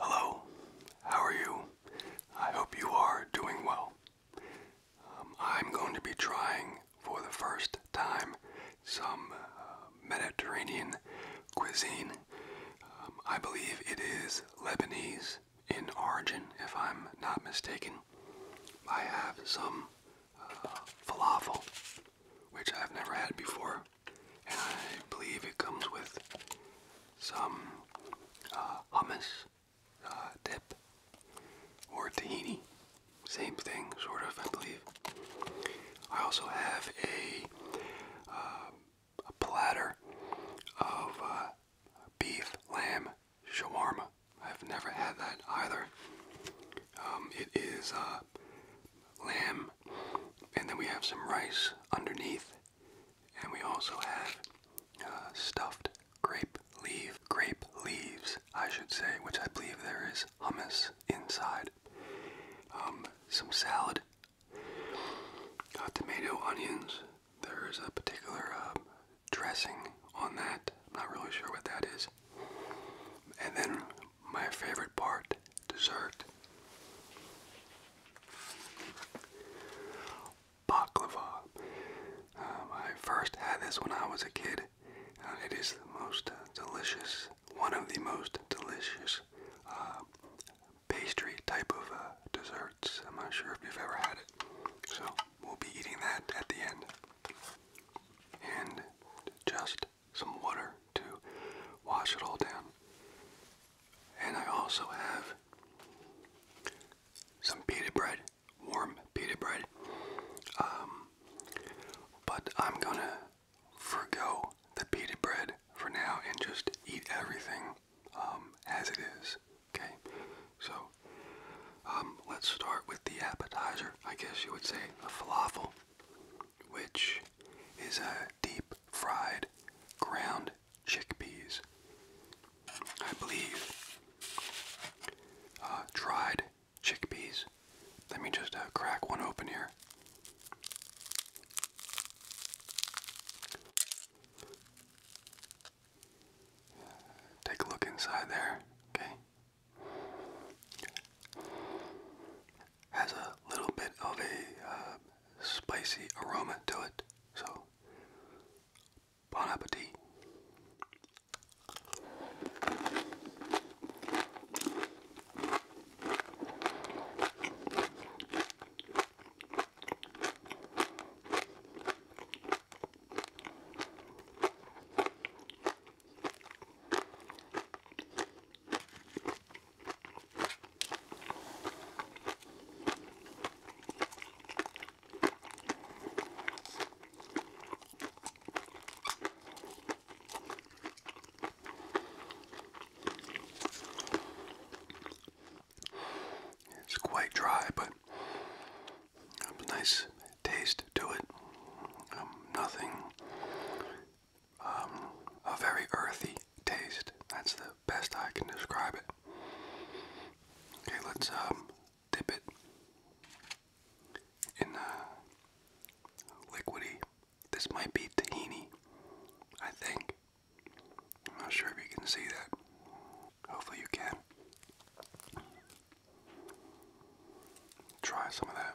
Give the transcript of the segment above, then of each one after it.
Hello, how are you? I hope you are doing well. Um, I'm going to be trying for the first time some uh, Mediterranean cuisine. Um, I believe it is Lebanese in origin, if I'm not mistaken. I have some uh, falafel, which I've never had before. I believe it comes with some uh, hummus uh, dip or tahini. Same thing, sort of, I believe. I also have a, uh, platter of beef lamb shawarma. I've never had that either. Um, it is lamb, and then we have some rice underneath and we also have uh, stuffed grape leaf, grape leaves, I should say, which I believe there is hummus inside. Um, some salad, uh, tomato, onions. There is a particular uh, dressing on that. I'm not really sure what that is. And then my favorite part, dessert. Baklava. Um, I first had this when I was a kid. Uh, it is the most uh, delicious, one of the most delicious uh, pastry type of uh, desserts. I'm not sure if you've ever had it. So we'll be eating that at the end. And just some water to wash it all down. And I also have some pita bread, warm pita bread. Um, but I'm gonna forgo the pita bread for now and just eat everything um, as it is. Okay, so um, let's start with the appetizer. I guess you would say the falafel, which is a deep fried ground chickpeas. I believe uh, dried chickpeas. Let me just uh, crack one open here. Take a look inside there, okay? Has a little bit of a uh, spicy aroma to it. So, bon appetit. It's quite dry, but a nice taste to it. Um, nothing. Um, a very earthy taste. That's the best I can describe it. Okay, let's um, dip it in uh, liquidy. This might be tahini, I think. I'm not sure if you can see that. Hopefully, you can. Try some of that.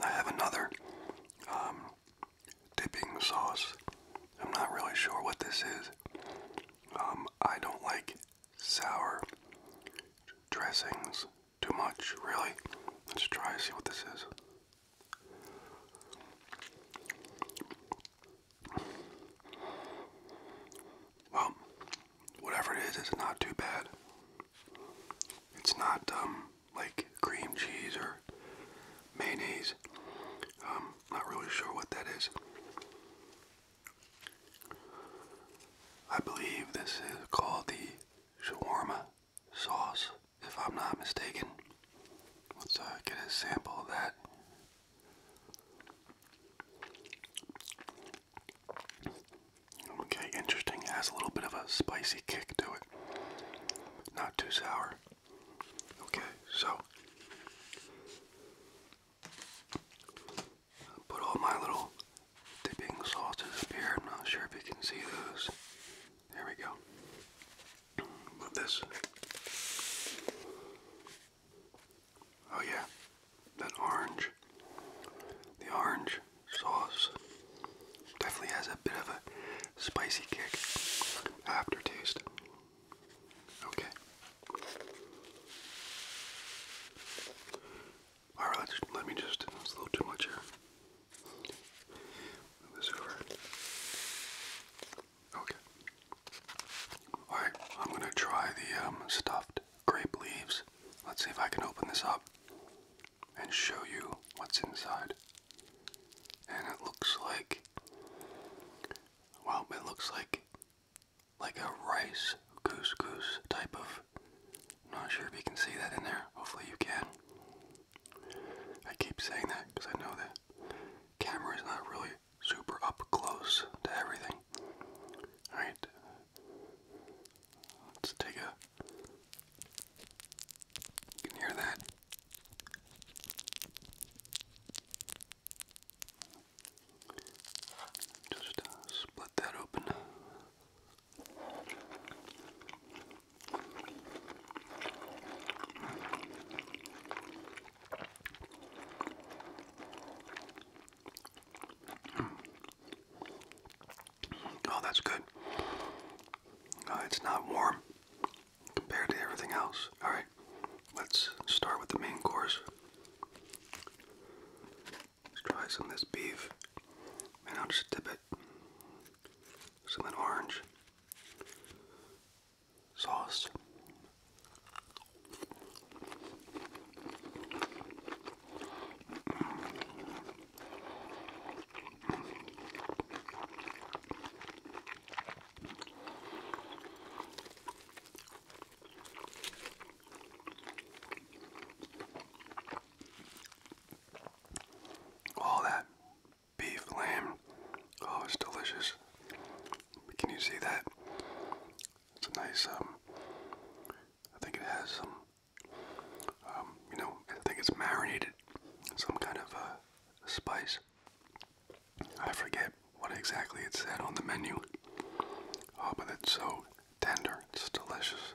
I have another um, dipping sauce. I'm not really sure what this is. Um, I don't like sour dressings too much, really? Let's try and see what this is. Well, whatever it is, it's not too bad. It's not um like cream cheese or mayonnaise. Um, not really sure what that is. I believe this is called the shawarma sauce, if I'm not mistaken. Let's uh, get a sample of that. Okay, interesting. has a little bit of a spicy kick to it. Not too sour. Okay, so put all my little dipping sauces up here. not sure if you can see those. There we go. Move this. Oh yeah, that orange. The orange sauce definitely has a bit of a spicy kick aftertaste. Okay. All right, let me just. It's too much here. this over. Okay. All right, I'm gonna try the um, stuffed grape leaves. Let's see if I can open this up and show you what's inside. And it looks like, Wow. it looks like like a rice couscous type of not sure if you can see that in there. Hopefully you can. I keep saying that because I know that camera is not really super up close to everything. Alright. Let's take a can hear that. Just uh, split that open. Oh, that's good. Uh, it's not warm compared to everything else. All right, let's start with the main course. Let's try some this beef and I'll just dip it some orange sauce. All that beef, lamb, oh, it's delicious. Can you see that? It's nice, um, I think it has some, um, you know, I think it's marinated some kind of uh, spice. I forget what exactly it said on the menu. Oh, but it's so tender. It's delicious.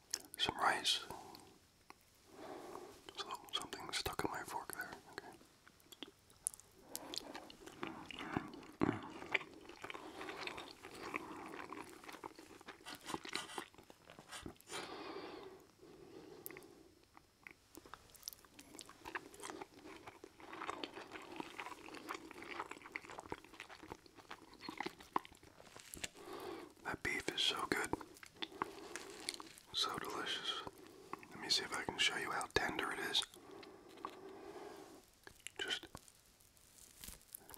some rice. So something stuck in my fork there. Okay. That beef is so good. So delicious. Let me see if I can show you how tender it is. Just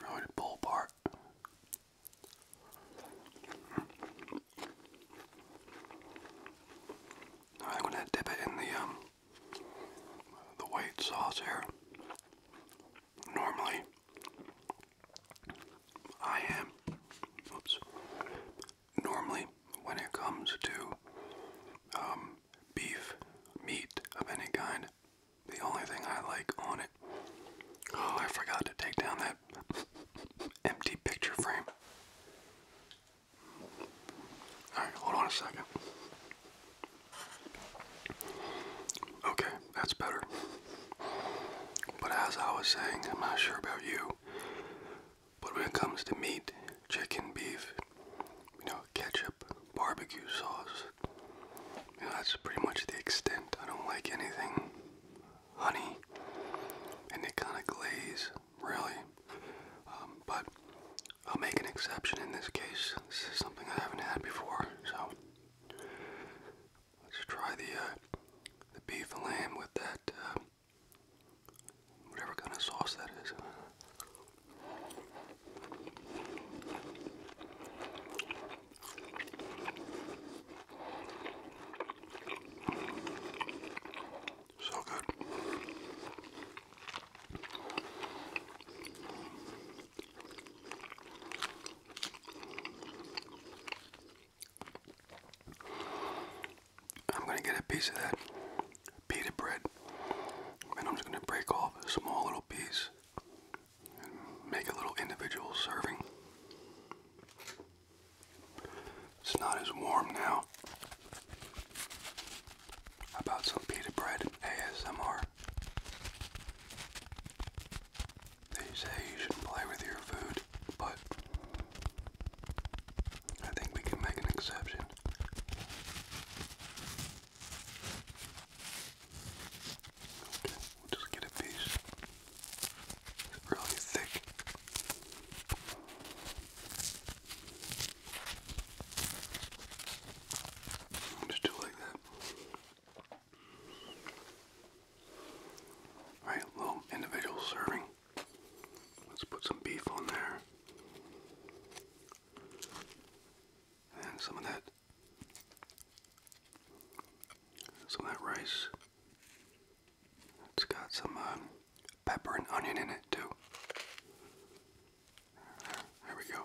really the pull part. I'm gonna dip it in the um, the white sauce here normally I am oops normally when it comes to um, beef meat of any kind the only thing I like on it oh I forgot to take down that empty picture frame alright hold on a second Okay, that's better. But as I was saying, I'm not sure about you, but when it comes to meat, chicken, beef, you know, ketchup, barbecue sauce, you know, that's pretty much the extent. I don't like anything honey, and kind of glaze, really. Um, but I'll make an exception in this case. This is something I haven't had before, so Let's try the uh, the beef and lamb with that uh, whatever kind of sauce that is. So good. I'm going to get a piece of that pita bread and I'm just going to break off a small little piece and make a little individual serving. It's not as warm now. about some pita bread ASMR? They say you shouldn't play with your food, but I think we can make an exception. Okay, we'll just get a piece. It's really thick. Just do like that. Alright, little individual serving. Let's put some beef on there. And some of that some of that rice. It's got some um, pepper and onion in it too. There we go.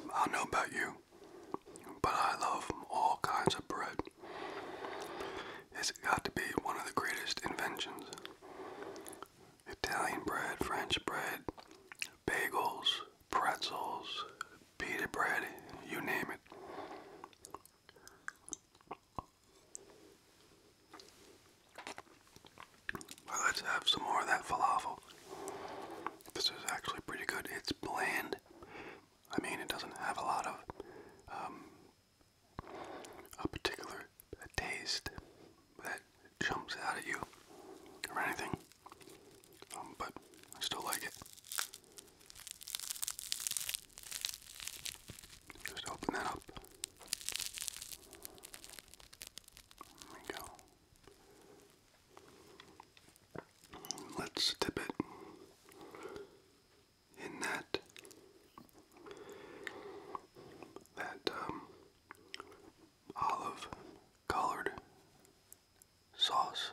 I don't know about you, but I love all kinds of bread. It's got to be one of the greatest inventions. Italian bread, French bread, bagels, pretzels, pita bread, you name it let's have some more of that falafel. This is actually pretty good. It's bland. I mean, it doesn't have a lot of um, a particular taste that jumps out at you or anything, um, but I still like it. Just open that up. There we go. Let's dip it in that that um, olive colored sauce.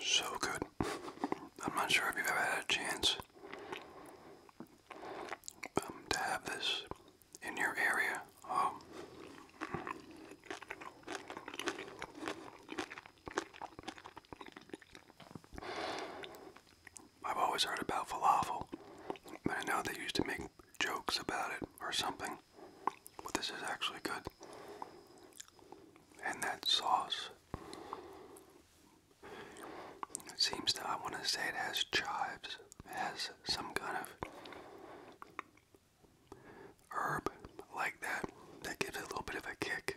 So good. I'm not sure if you've ever had a chance um, to have this in your area. Um, I've always heard about falafel, but I know they used to make jokes about it or something. But this is actually good. And that sauce it seems that I want to say it has chives, it has some kind of herb like that that gives a little bit of a kick.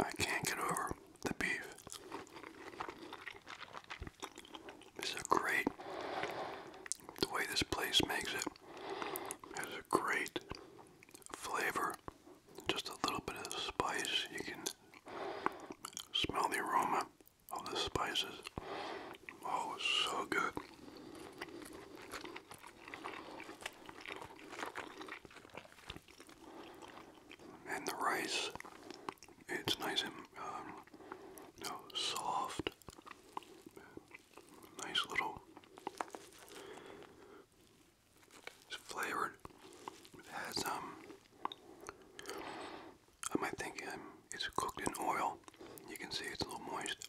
I can't get over the beef. This is a great, the way this place makes it, has a great flavor. Just a little bit of spice. You can smell the aroma of the spices. Oh, so good. And the rice it's nice and um, soft. Nice little. It's flavored. It has um. I might think um, it's cooked in oil. You can see it's a little moist.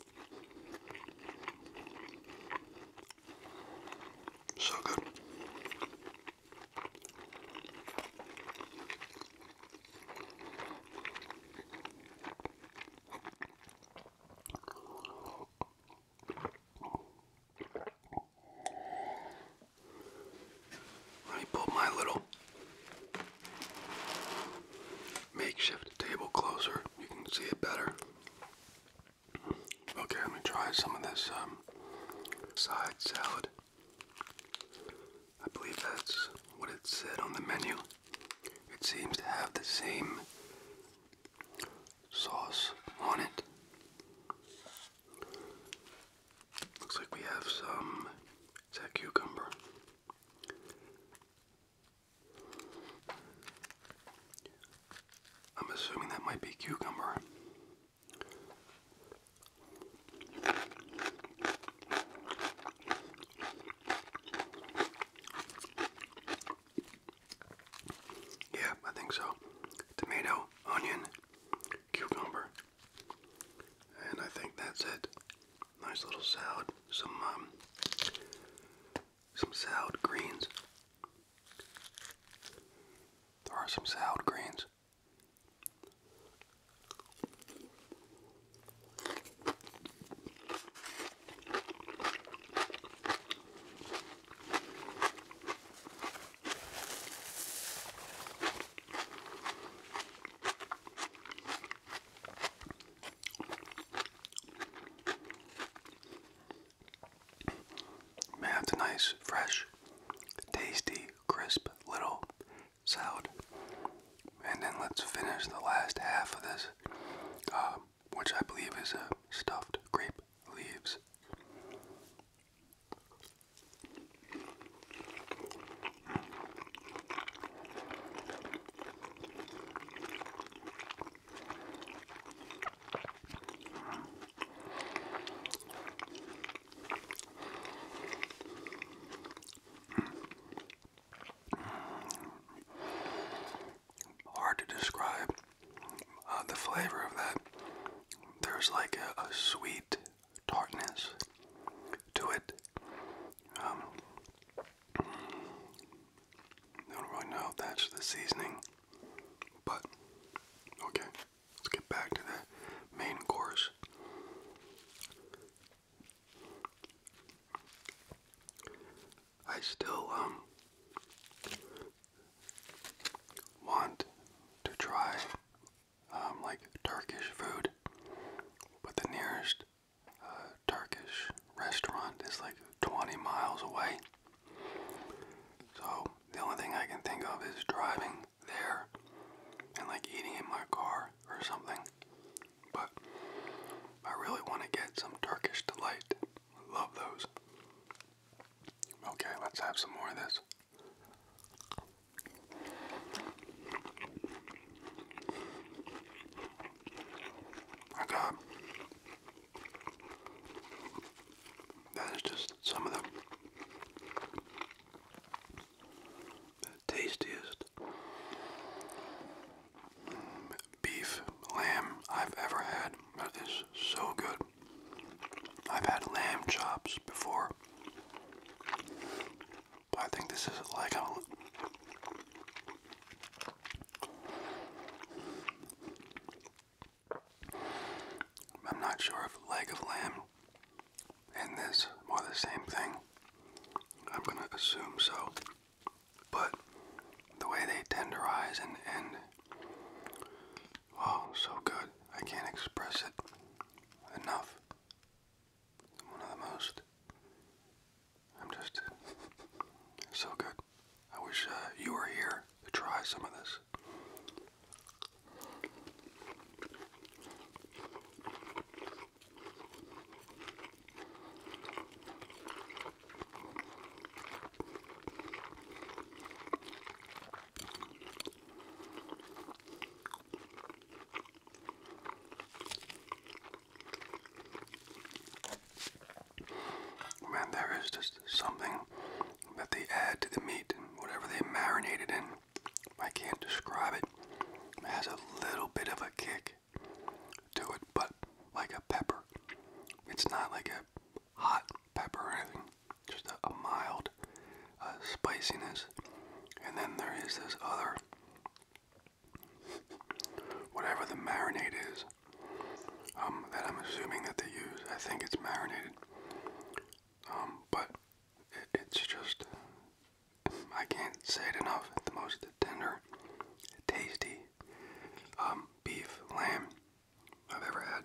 So good. Let me pull my little makeshift table closer. You can see it better. Okay, let me try some of this um, side salad. I believe that's what it said on the menu. It seems to have the same sauce on it. Looks like we have some. Is I'm assuming that might be cucumber. Yeah, I think so. Tomato, onion, cucumber. And I think that's it. Nice little salad. Some um, some salad greens. There are some salad greens. Man, it's a nice, fresh, tasty, crisp little salad. And then let's finish the last half of this, uh, which I believe is a stuffed grape leaves. Hard to describe uh, the flavor of that. There's like a, sweet tartness to it. Um, I don't really know if that's the seasoning, but okay, let's get back to the main course. I still um, want to try um, like Turkish food, but the nearest Turkish restaurant is like 20 miles away. So the only thing I can think of is driving there and like eating in my car or something. But I really want to get some Turkish delight. I love those. Okay, let's have some more of this. I got that is just some of the, tastiest beef lamb I've ever had. That is so good. I've had lamb chops before. But I think this is like a I'm not sure if leg of lamb and this are the same thing. I'm gonna assume so. But the way they tenderize and end, oh, so good. I can't express it enough. One of the most I'm just so good. I wish uh, you were here to try some of this. Man, there is just something that they add to the meat, and whatever they marinate it in. I can't describe it. It has a little bit of a kick to it, but like a pepper. It's not like a hot pepper or anything, just a, mild uh, spiciness. And then there is this other, whatever the marinade is, um, that I'm assuming that they use. I think it's marinated, um, but it's just I can't say it enough. The most tender, tasty um, beef lamb I've ever had.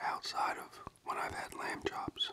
Outside of when I've had lamb chops.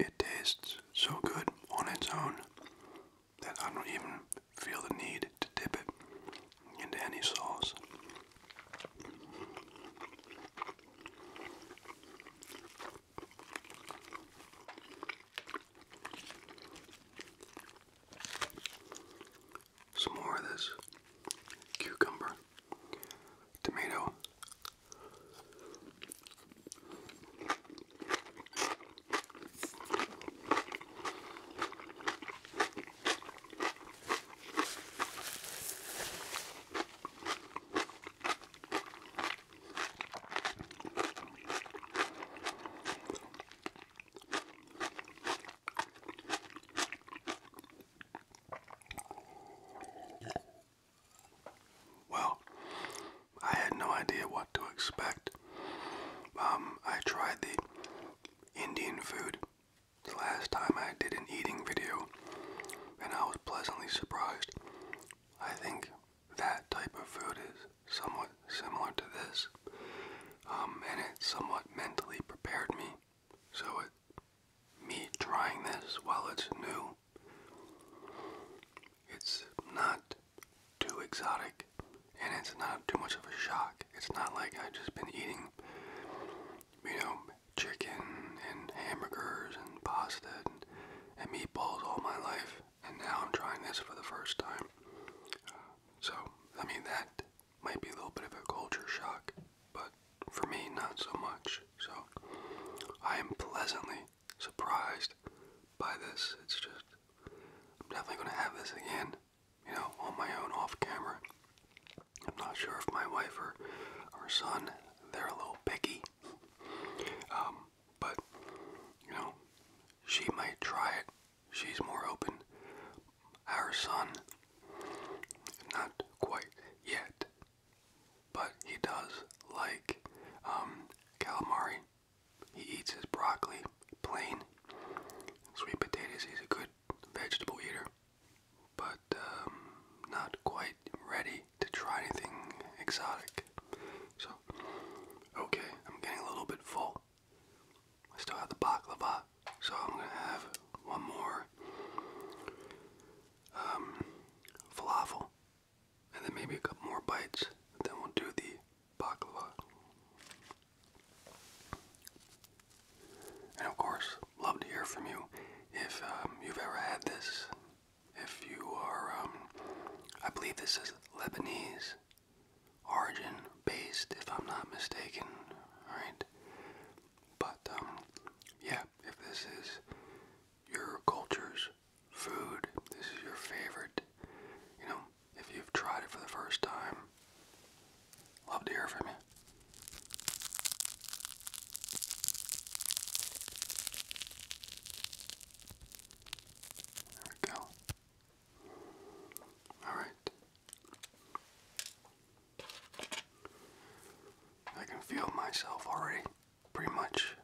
It tastes so good on its own that I don't even feel the need to dip it into any sauce. Some more of this cucumber, tomato. Well, I had no idea what to expect. Um, I tried the Indian food the last time I did an eating video, and I was pleasantly surprised. I think that type of food is somewhat similar to this, um, and it's somewhat mentally prepared me. So it, me trying this while it's new, it's not too exotic, and it's not too much of a shock. It's not like I've just been eating, you know, chicken and hamburgers and pasta and meatballs all my life, and now I'm trying this for the first time. So, I mean, that might be a little bit of a culture shock, but for me, not so much. So, I am pleasantly surprised by this. It's just, I'm definitely going to have this again, you know, on my own off camera. I'm not sure if my wife or, or son, they're a little picky. Um, but you know, she might try it. She's more open. Our son, not quite yet, but he does like um, calamari. He eats his broccoli plain. Sweet potatoes, he's a good vegetable eater, but um, not quite ready to try anything exotic. So, okay, I'm getting a little bit full. I still have the baklava, so I'm gonna have one more um, falafel, and then maybe a couple more bites. Then we'll do the baklava. And of course, love to hear from you if um, you've ever had this if you are, um, I believe this is Lebanese origin based, if I'm not mistaken, alright? But, um, yeah, if this is your culture's food, this is your favorite, you know, if you've tried it for the first time, love to hear from you. There we go. All right. I can feel myself already pretty much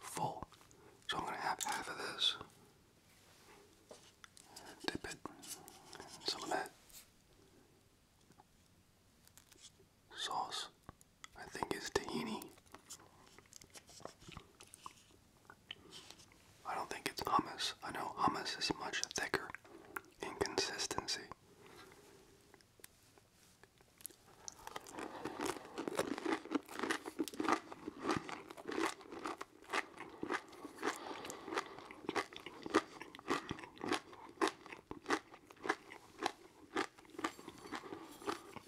full. So I'm going to have half of this. Dip it. some of that sauce. I think it's tahini. I don't think it's hummus. I know hummus is much thicker in consistency.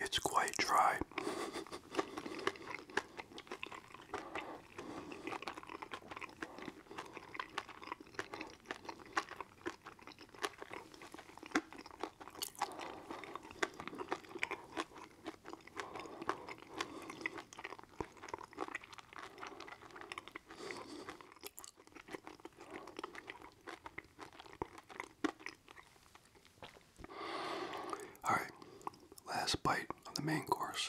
It's quite dry. All right, last bite of the main course.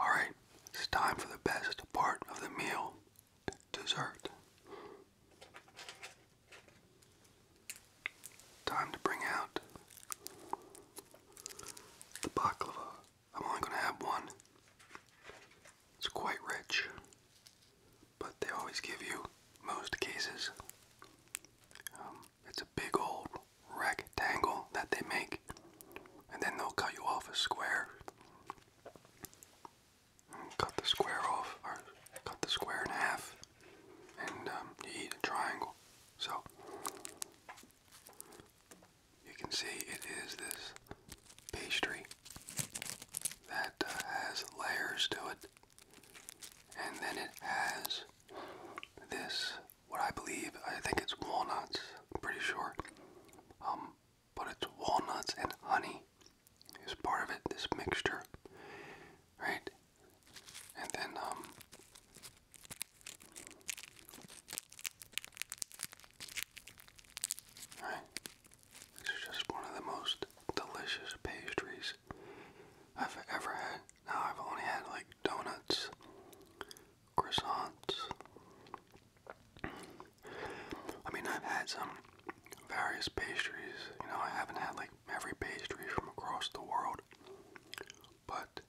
All right, it's time for the best part of the meal dessert. Time to bring out the baklava. I'm only going to have one. It's quite rich, but they always give you most cases. Um, it's a big old rectangle that they make, and then they'll cut you off a square. Cut the square off, or cut the square in half, and um, you eat a triangle. So, you can see it is this pastry that uh, has layers to it. And then it has this, what I believe, I think it's walnuts, I'm pretty sure. Um, but it's walnuts and honey is part of it, this mixture, right? And then, um, this is just one of the most delicious pastries I've ever had. Now I've only had like donuts, croissants. I mean, I've had some various pastries. You know, I haven't had like every pastry from across the world. But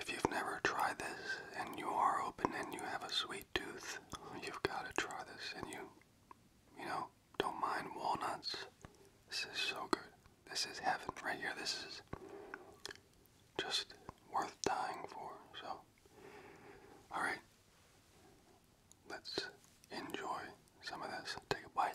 if you've never tried this and you are open and you have a sweet tooth, you've got to try this and you, you know, don't mind walnuts. This is so good. This is heaven right here. This is just worth dying for. So, all right. Let's enjoy some of this. Take a bite.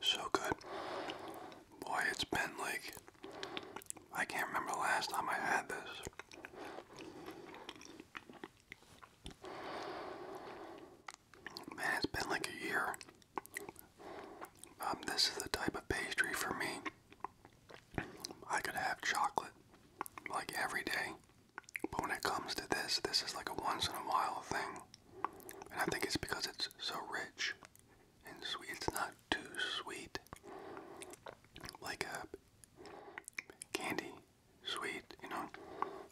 So good. Boy, it's been like, I can't remember the last time I had this. Man, it's been like a year. Um, this is the type of pastry for me. I could have chocolate like every day. But when it comes to this, this is like a once in a while thing. And I think it's because it's so rich and sweet. It's not too sweet. Like candy sweet, you know.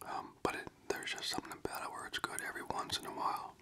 Um, but there's just something about it where it's good every once in a while.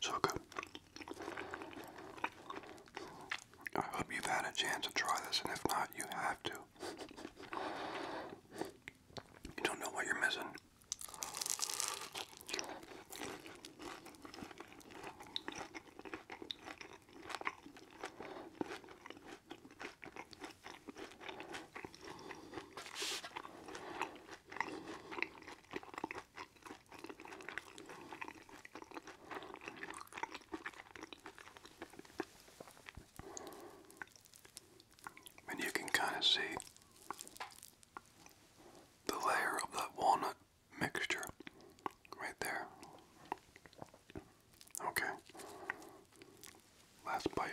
So good. I hope you've had a chance to try this, and if not, you have to. You don't know what you're missing. And you can kind of see the layer of that walnut mixture right there. Okay. Last bite.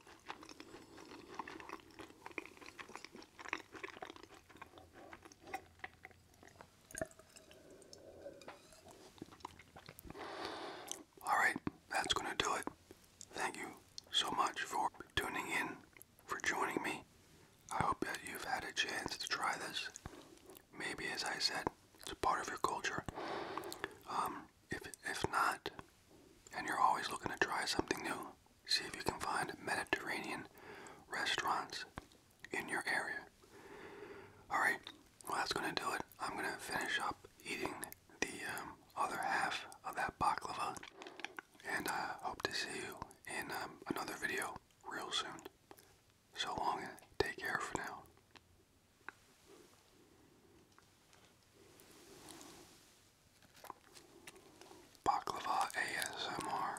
All right, that's going to do it. Thank you so much for tuning in, for joining me. I hope that you've had a chance to try this. Maybe, as I said, it's a part of your culture. Um, if, if not, and you're always looking to try something new, see if you can find Mediterranean restaurants in your area. Alright, well, that's going to do it. I'm going to finish up eating the um, other half of that baklava, and I hope to see you in um, another video real soon. So long and take care for now. Baklava ASMR.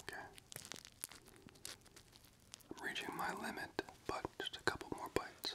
Okay. reaching my limit, but just a couple more bites.